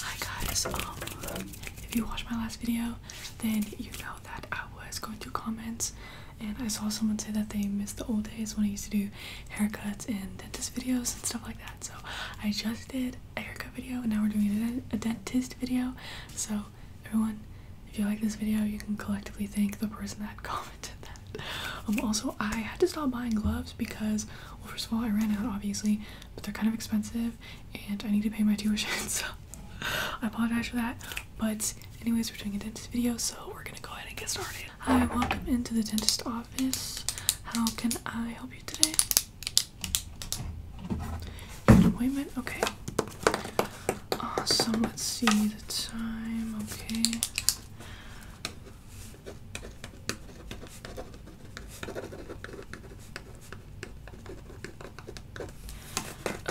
Hi guys, um, if you watched my last video, then you know that I was going through comments and I saw someone say that they missed the old days when I used to do haircuts and dentist videos and stuff like that. So I just did a haircut video and now we're doing a dentist video. So everyone, if you like this video, you can collectively thank the person that commented did um, also, I had to stop buying gloves because, well, first of all, I ran out, obviously, but they're kind of expensive, and I need to pay my tuition, so I apologize for that. But anyways, we're doing a dentist video, so we're gonna go ahead and get started. Hi, welcome into the dentist office. How can I help you today? appointment? Okay. Awesome. Let's see the time. Okay.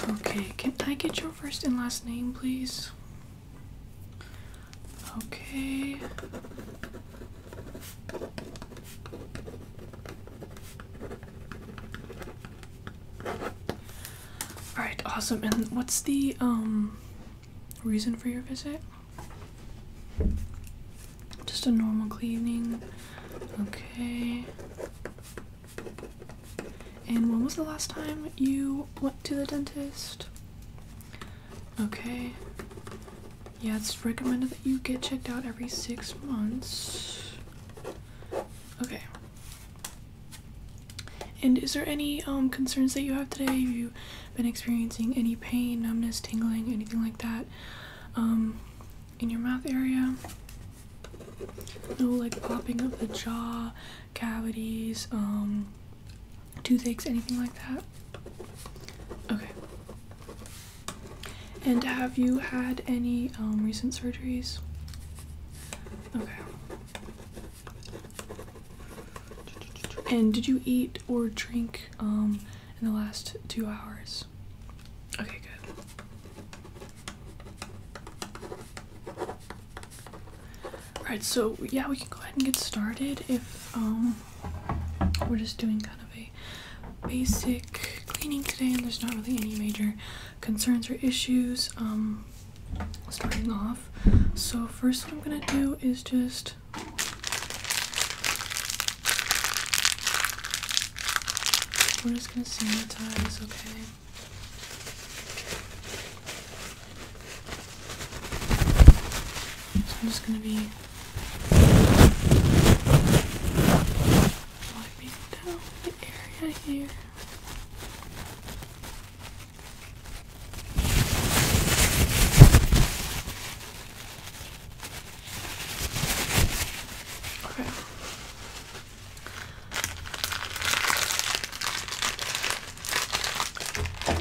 Okay, can I get your first and last name, please? Okay. All right, awesome. And what's the um reason for your visit? Just a normal cleaning. Okay. And when was the last time you went to the dentist? Okay. Yeah, it's recommended that you get checked out every six months. Okay. And is there any um, concerns that you have today? Have you been experiencing any pain, numbness, tingling, anything like that um, in your mouth area? No, like popping of the jaw, cavities, um, toothaches, anything like that? Okay. And have you had any recent surgeries? Okay. And did you eat or drink um, in the last two hours? Okay, good. Alright, so yeah, we can go ahead and get started if um, we're just doing kind of a basic cleaning today and there's not really any major concerns or issues um, starting off. So, first, what I'm gonna do is just we're just gonna sanitize, okay? So I'm just gonna be wiping down the area here. Okay.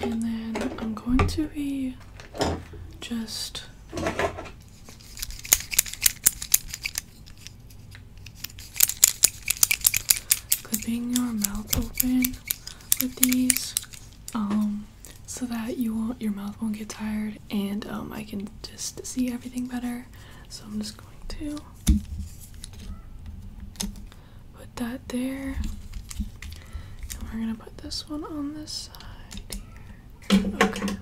And then I'm going to be just clipping your mouth open with these um so that you won't your mouth won't get tired and um I can just see everything better so I'm just going to put that there and we're gonna put this one on this side here okay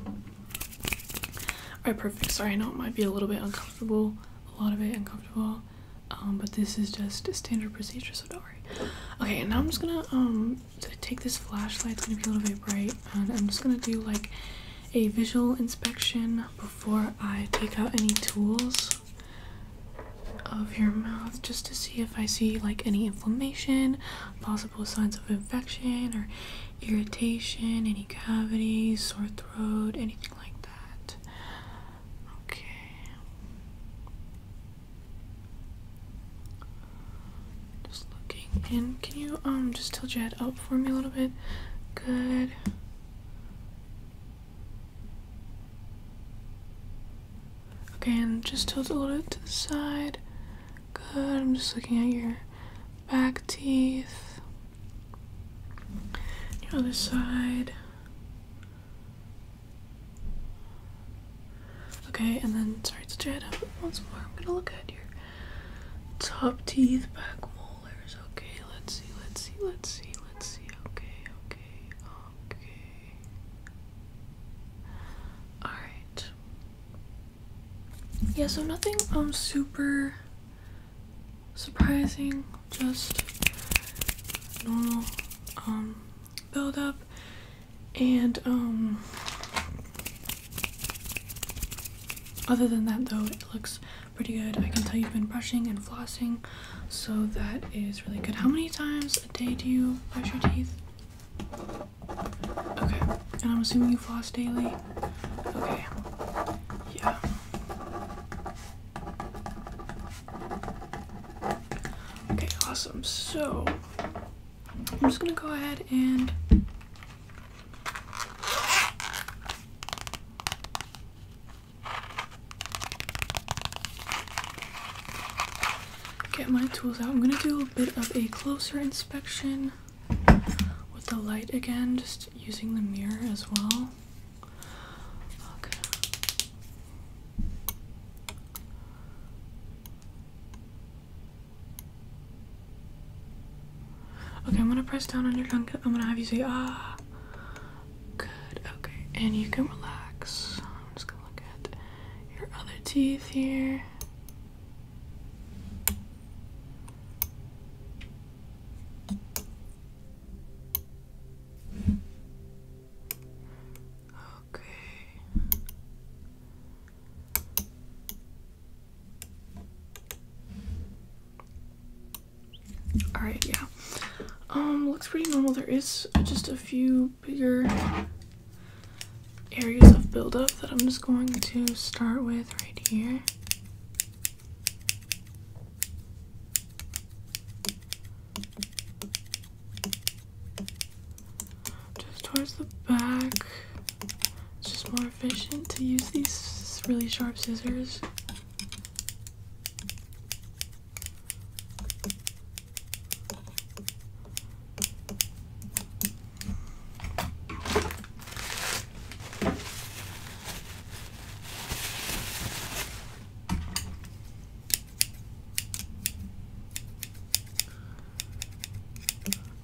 Alright, perfect. Sorry, I know it might be a little bit uncomfortable, a lot of it uncomfortable, um, but this is just a standard procedure, so don't worry. Okay, and now I'm just gonna um, take this flashlight. It's gonna be a little bit bright, and I'm just gonna do like a visual inspection before I take out any tools of your mouth just to see if I see like any inflammation, possible signs of infection, or irritation, any cavities, sore throat, anything like that. Okay. Just looking in. Can you um just tilt your head up for me a little bit? Good. Okay, and just tilt a little bit to the side. Good. I'm just looking at your back teeth. Your other side. Okay, and then sorry to jet up once more. I'm gonna look at your top teeth, back molars. Okay, let's see, let's see, let's see, let's see. Okay, okay, okay. Alright yeah so nothing um super surprising just normal um build and um other than that though it looks pretty good i can tell you've been brushing and flossing so that is really good how many times a day do you brush your teeth Okay, and I'm assuming you floss daily? Okay, yeah. Okay, awesome. So, I'm just gonna go ahead and get my tools out. I'm gonna do a bit of a closer inspection with the light again, just using the mirror as well. Okay. Okay, I'm gonna press down on your tongue. I'm gonna have you say, ah. Good, okay. And you can relax. I'm just gonna look at your other teeth here. Okay. All right, yeah. Um, looks pretty normal. There is just a few bigger areas of buildup that I'm just going to start with right here. Just towards the back. It's just more efficient to use these really sharp scissors.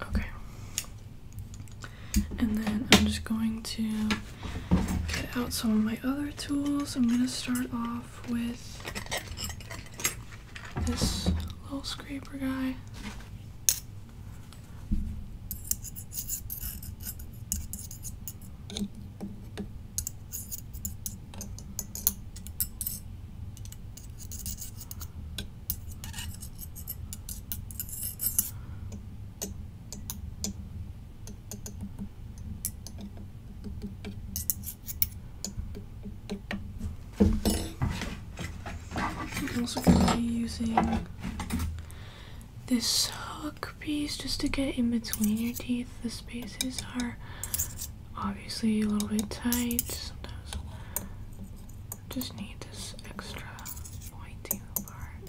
Okay. And then I'm just going to get out some of my other tools. I'm going to start off with this little scraper guy. I'm also going to be using this hook piece just to get in between your teeth. The spaces are obviously a little bit tight. Sometimes just need this extra pointy part.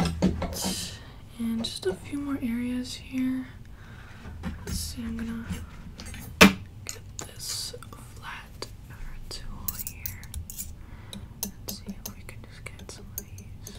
Alright, and just a few more areas here. Let's see, I'm gonna get this flat tool here. let see if we can just get some of these.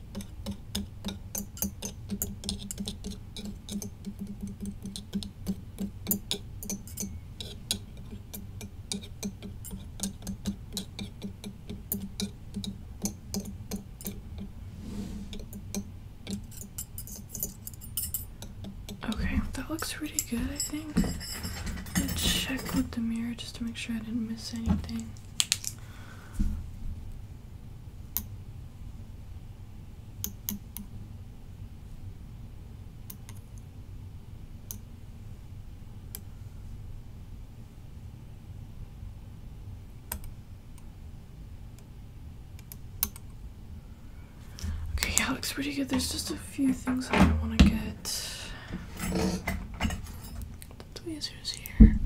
Okay, that looks pretty good, I think. Let's check with the mirror just to make sure I didn't miss anything. Okay, yeah, looks pretty good. There's just a few things I want to get the tweezers here.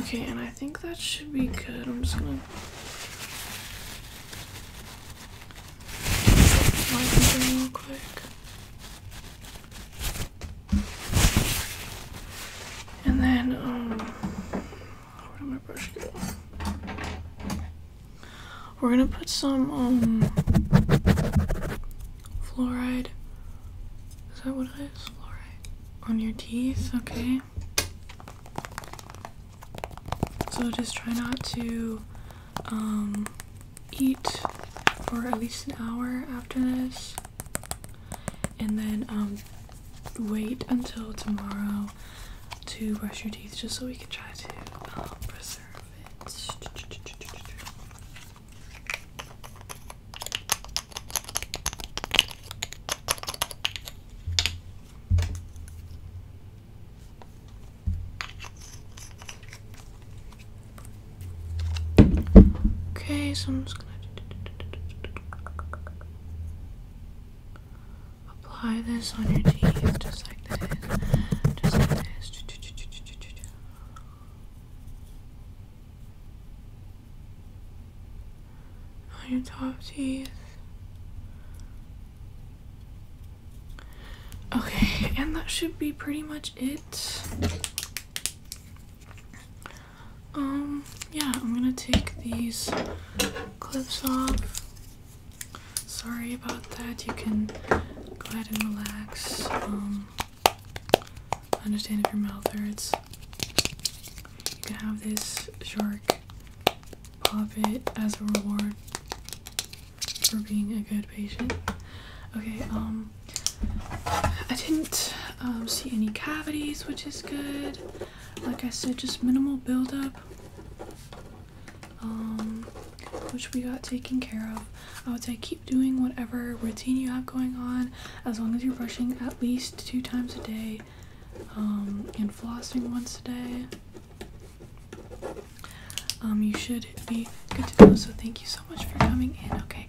Okay, and I think that should be good. I'm just gonna real quick. And then um, where did my brush go? We're gonna put some um, fluoride. Is that what it is? Fluoride on your teeth. Okay. So just try not to um, eat for at least an hour after this, and then um, wait until tomorrow to brush your teeth just so we can try to um, preserve it. Okay, so I'm just gonna apply this on your teeth just like this. Just like this. On your top teeth. Okay, and that should be pretty much it. Um, yeah, I'm gonna take these clips off. Sorry about that. You can go ahead and relax. Um, I understand if your mouth hurts. You can have this shark pop it as a reward for being a good patient. Okay, um, I didn't um, see any cavities, which is good. Like I said, just minimal buildup, um, which we got taken care of. I would say keep doing whatever routine you have going on, as long as you're brushing at least two times a day um, and flossing once a day. you should be good to go. So thank you so much for coming in. Okay,